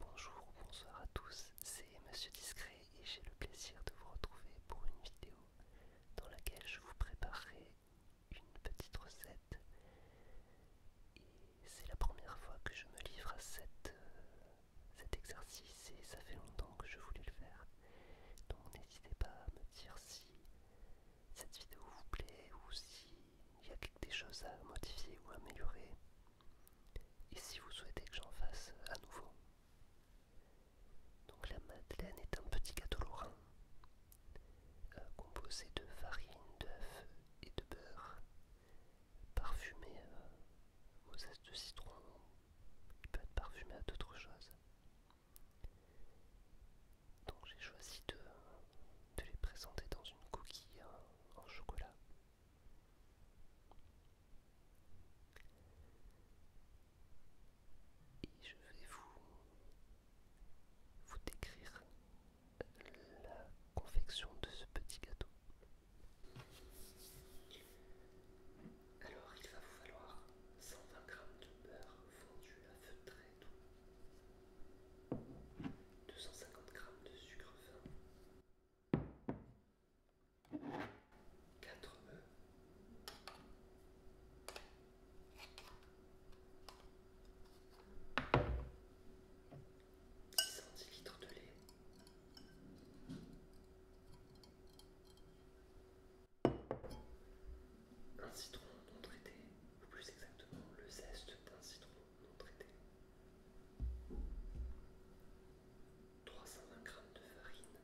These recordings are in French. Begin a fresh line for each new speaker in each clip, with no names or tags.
Bonjour ou bonsoir à tous, c'est Monsieur Discret et j'ai le plaisir de vous retrouver pour une vidéo dans laquelle je vous préparerai une petite recette. Et c'est la première fois que je me livre à euh, cet exercice et ça fait longtemps que je voulais le faire. Donc n'hésitez pas à me dire si cette vidéo vous plaît ou si il y a quelque chose à modifier ou améliorer et si vous souhaitez que j'en fasse à nouveau. Donc la madeleine est un petit gâteau lorrain euh, composé de farine, d'œufs et de beurre parfumé à euh, aux de citron. qui peut être parfumé à d'autres choses. Donc j'ai choisi de, de les présenter dans une coquille euh, en chocolat. Et je vais vous, vous décrire la confection de ce petit gâteau. Alors il va vous falloir 120 g de beurre fondu à feu très doux, 250 g de sucre fin, Quatre œufs, Dix centilitres de lait. Un citron non traité, ou plus exactement le zeste d'un citron 320 g de farine.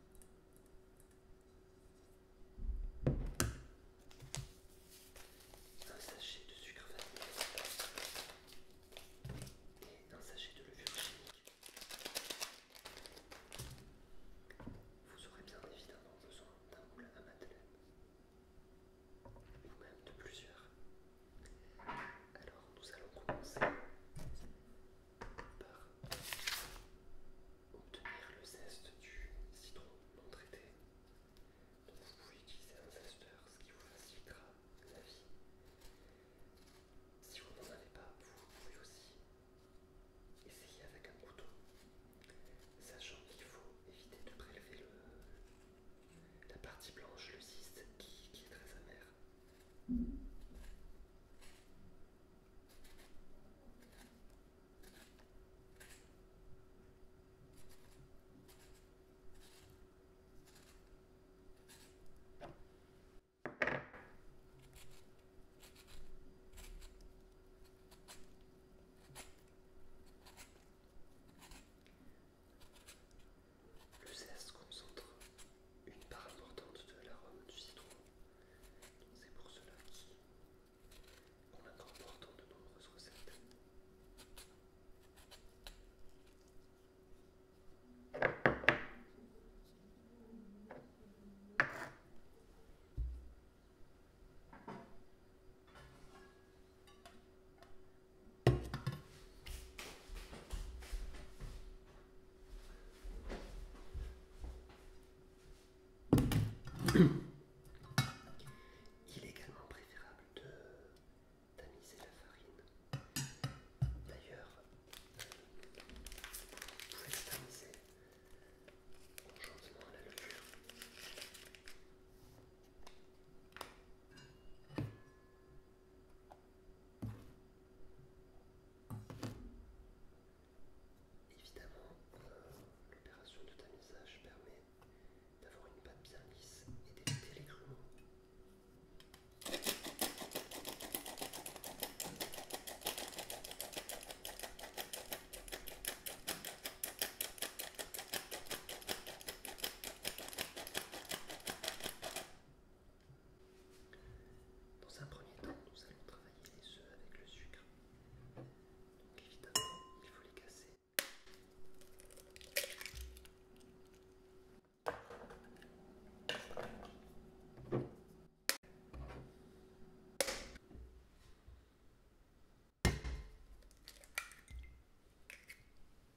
Un sachet de sucre vanillé et un sachet de levure chimique. Vous aurez bien évidemment besoin d'un moulin à madeleine, ou même de plusieurs, alors nous allons commencer par obtenir le zeste du citron non traité. vous pouvez utiliser un zesteur, ce qui vous facilitera la vie. Si vous n'en avez pas, vous pouvez aussi essayer avec un couteau, sachant qu'il faut éviter de prélever le, la partie blanche, le qui, est très amère. Le zeste concentre une part importante de l'arôme du citron. C'est pour cela qu'on l'incorpore dans de nombreuses recettes. Il est également préférable de tamiser la farine. D'ailleurs, vous pouvez tamiser en la levure. Évidemment, l'opération de tamisage permet d'avoir une pâte bien lisse et des les dans un premier temps, nous allons travailler les œufs avec le sucre. évidemment, il faut les casser.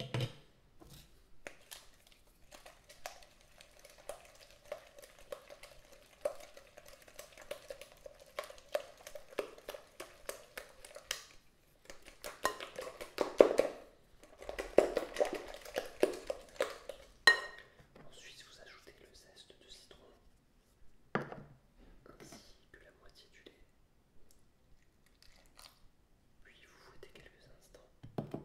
Ensuite, vous ajoutez le zeste de citron ainsi que la moitié du lait puis vous fouettez quelques instants.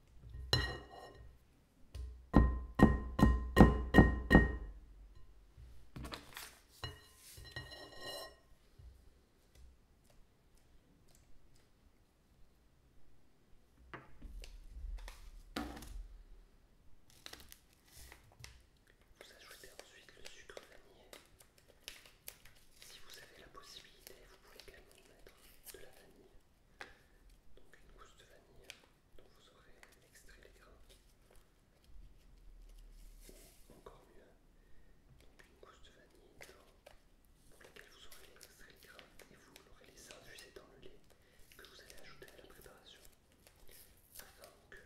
Vous ajoutez ensuite le sucre vanillé. Si vous avez la possibilité, vous pouvez également mettre de la vanille donc une gousse de vanille dont vous aurez extrait les grains et encore mieux une gousse de vanille pour laquelle vous aurez extrait les grains et vous l'aurez laissé infuser dans le lait que vous allez ajouter à la préparation afin que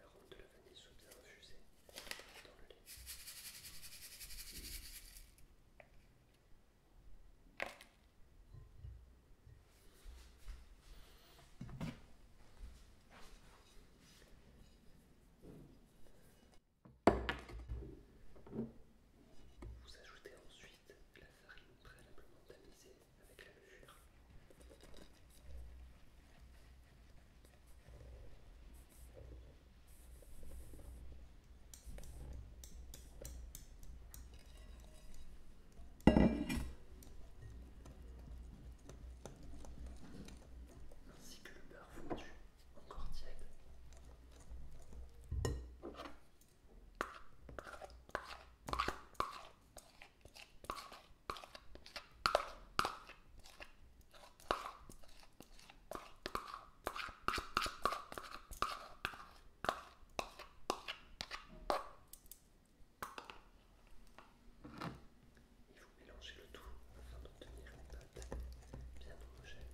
l'arôme de la vanille soit bien infusée dans le lait vous ajoutez ensuite la farine préalablement tamisée avec la levure ainsi que le beurre fondu encore tiède. Il faut mélanger le tout afin d'obtenir une pâte bien homogène.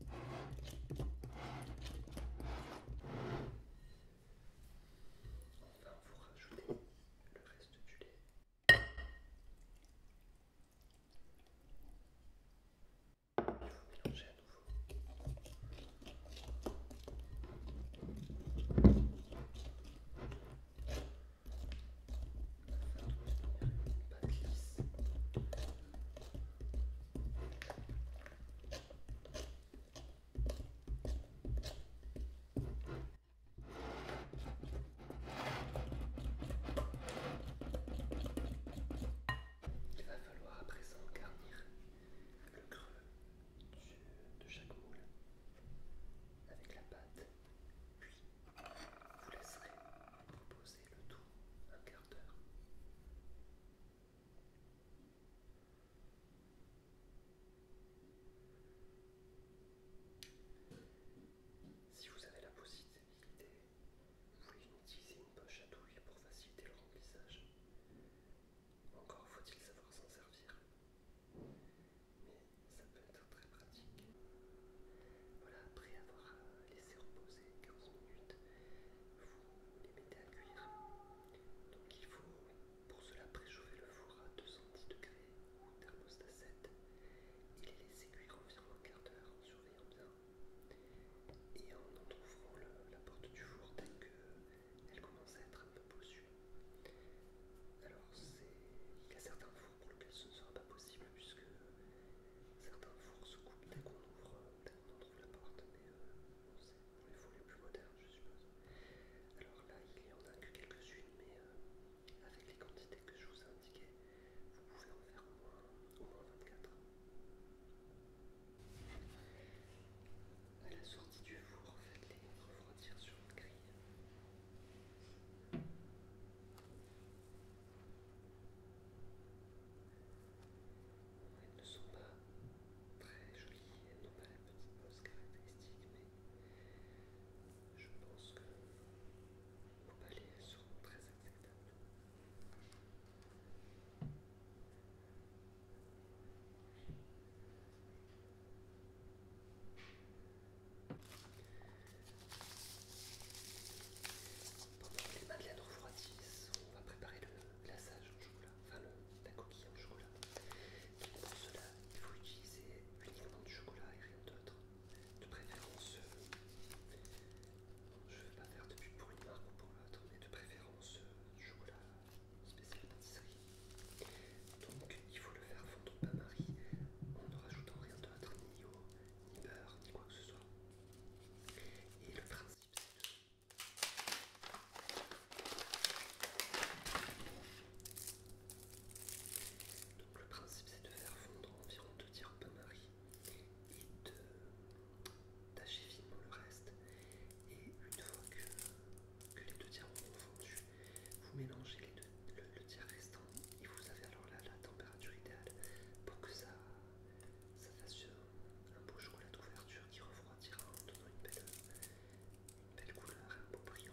On va vous rajouter le reste du lait. Il faut à nouveau. Il va falloir à présent garnir le creux de chaque moule avec la pâte, puis vous laisserez le tout un quart d'heure. Si vous avez la possibilité, vous pouvez utiliser une poche à douille pour faciliter le remplissage. Encore faut-il savoir s'en servir. Mais ça peut être très pratique. Voilà, après avoir euh, laisser reposer 15 minutes, vous les mettez à cuire. Donc il faut pour cela préchauffer le four à 210 degrés ou thermostat 7 et les laisser cuire environ un quart d'heure en surveillant bien. Et en entrouvrant la porte du four dès qu'elle commence à être un peu bossue. Alors il y a certains fours pour lesquels ce ne sera pas possible puisque certains fours se coupent dès qu'on ouvre euh, qu'on en trouve la porte, mais on sait, on les fous les plus modernes, je suppose. Alors là, il y en a que quelques-unes, mais euh, avec les quantités que je vous ai indiquées, vous pouvez en faire au moins, 24. À la sortie du four, faites-les refroidir sur une grille. Elles ne sont pas très jolies, elles n'ont pas la petite pose caractéristique, mais je pense que vos palais elles seront très acceptables. Pendant que les madeleines refroidissent, on va préparer le glaçage au chocolat, enfin la coquille au chocolat. pour cela, il faut utiliser uniquement du chocolat et rien d'autre. De préférence, euh, je ne vais pas faire de pub pour une marque ou pour l'autre, mais de préférence euh, du chocolat spécial pâtisserie. Donc il faut le faire fondre au bain-marie en ne rajoutant rien d'autre, ni eau, ni beurre, ni quoi que ce soit. Et le principe donc le principe c'est de faire fondre environ deux tiers de marie et de tacher finement le reste. Et une fois que, les deux tiers ont fondu, vous mélangez les deux, le, tiers restant et vous avez alors là la température idéale pour que ça, ça fasse euh, un beau chocolat d'ouverture qui refroidira en donnant une belle, couleur un beau brillant.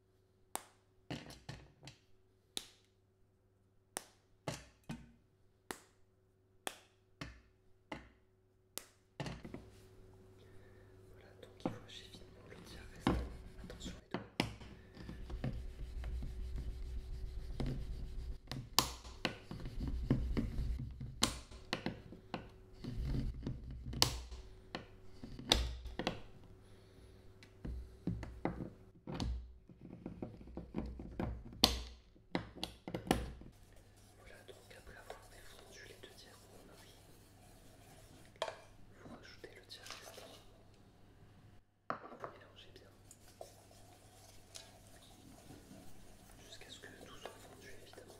Voilà, donc il faut évidemment le tirer restant. Attention les doigts. Voilà, donc après avoir défondu les deux tiers de a vous rajoutez le tiers restant. Vous mélangez bien. Jusqu'à ce que tout soit fondu évidemment.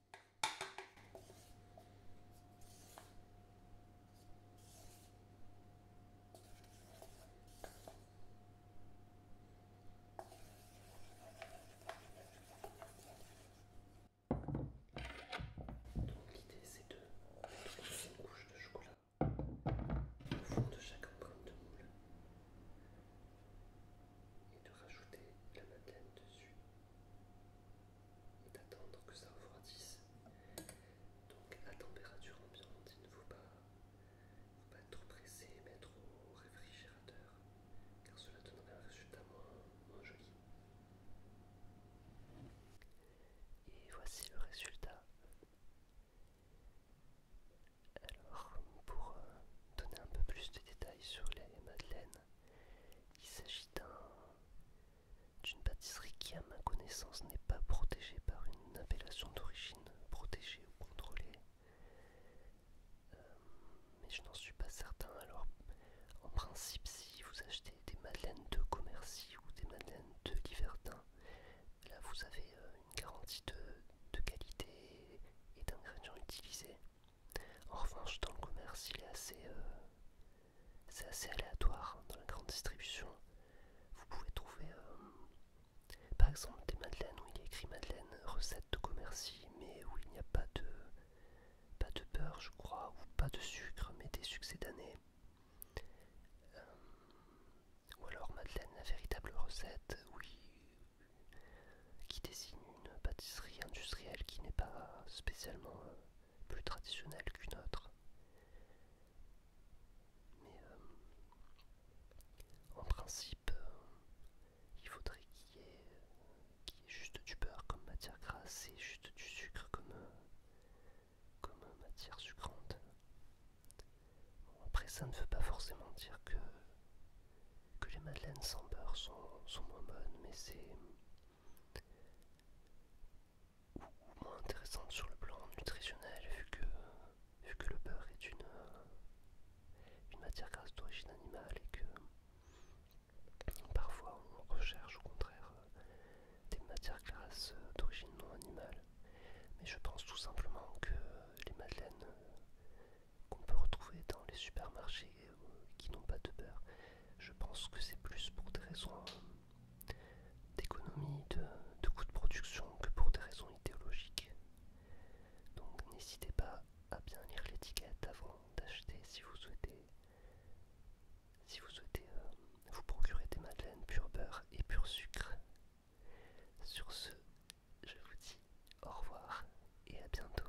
l'idée c'est de mettre une couche de chocolat au fond de chaque empreinte de moule et de rajouter la madeleine dessus d'attendre que ça refroidisse. Donc à température ambiante, il ne faut pas, être pas trop pressé mettre au réfrigérateur, car cela donnerait un résultat moins, joli. Et voici le résultat. Alors, pour euh, donner un peu plus de détails sur les madeleines, il s'agit d'une pâtisserie qui, à ma connaissance, n'est pas protégée par une appellation d'origine protégée ou contrôlée. Euh, mais je n'en suis pas certain. Alors, en principe, si vous achetez des madeleines de Commercy ou des madeleines de Liverdun, là vous avez euh, une garantie de qualité et d'ingrédients utilisés. En revanche, dans le commerce, il est assez, euh, aléatoire. Dans la grande distribution, vous pouvez trouver euh, par exemple des madeleines où il y écrit madeleine, recette de commercie, mais où il n'y a pas de, pas de beurre, je crois, ou pas de sucre, mais des succès d'année. Euh, ou alors madeleine, la véritable recette, oui, qui désigne une pâtisserie industrielle qui n'est pas spécialement euh, plus traditionnelle qu'une autre. Mais euh, en principe, euh, il faudrait qu'il y, ait, juste du beurre comme matière grasse et juste du sucre comme, comme matière sucrante. après, ça ne veut pas forcément dire que, que les madeleines sans beurre sont moins bonnes, mais c'est ou, moins intéressante sur le plan nutritionnel vu que, vu que le beurre est une, euh, une matière grasse d'origine animale et que parfois on recherche au contraire euh, des matières grasses d'origine non animale. Mais je pense tout simplement que les madeleines euh, qu'on peut retrouver dans les supermarchés qui n'ont pas de beurre. Je pense que c'est plus pour des raisons d'économie, de, coût de production que pour des raisons idéologiques. Donc n'hésitez pas à bien lire l'étiquette avant d'acheter si vous souhaitez si vous souhaitez euh, vous procurer des madeleines pur beurre et pur sucre. Sur ce, je vous dis au revoir et à bientôt.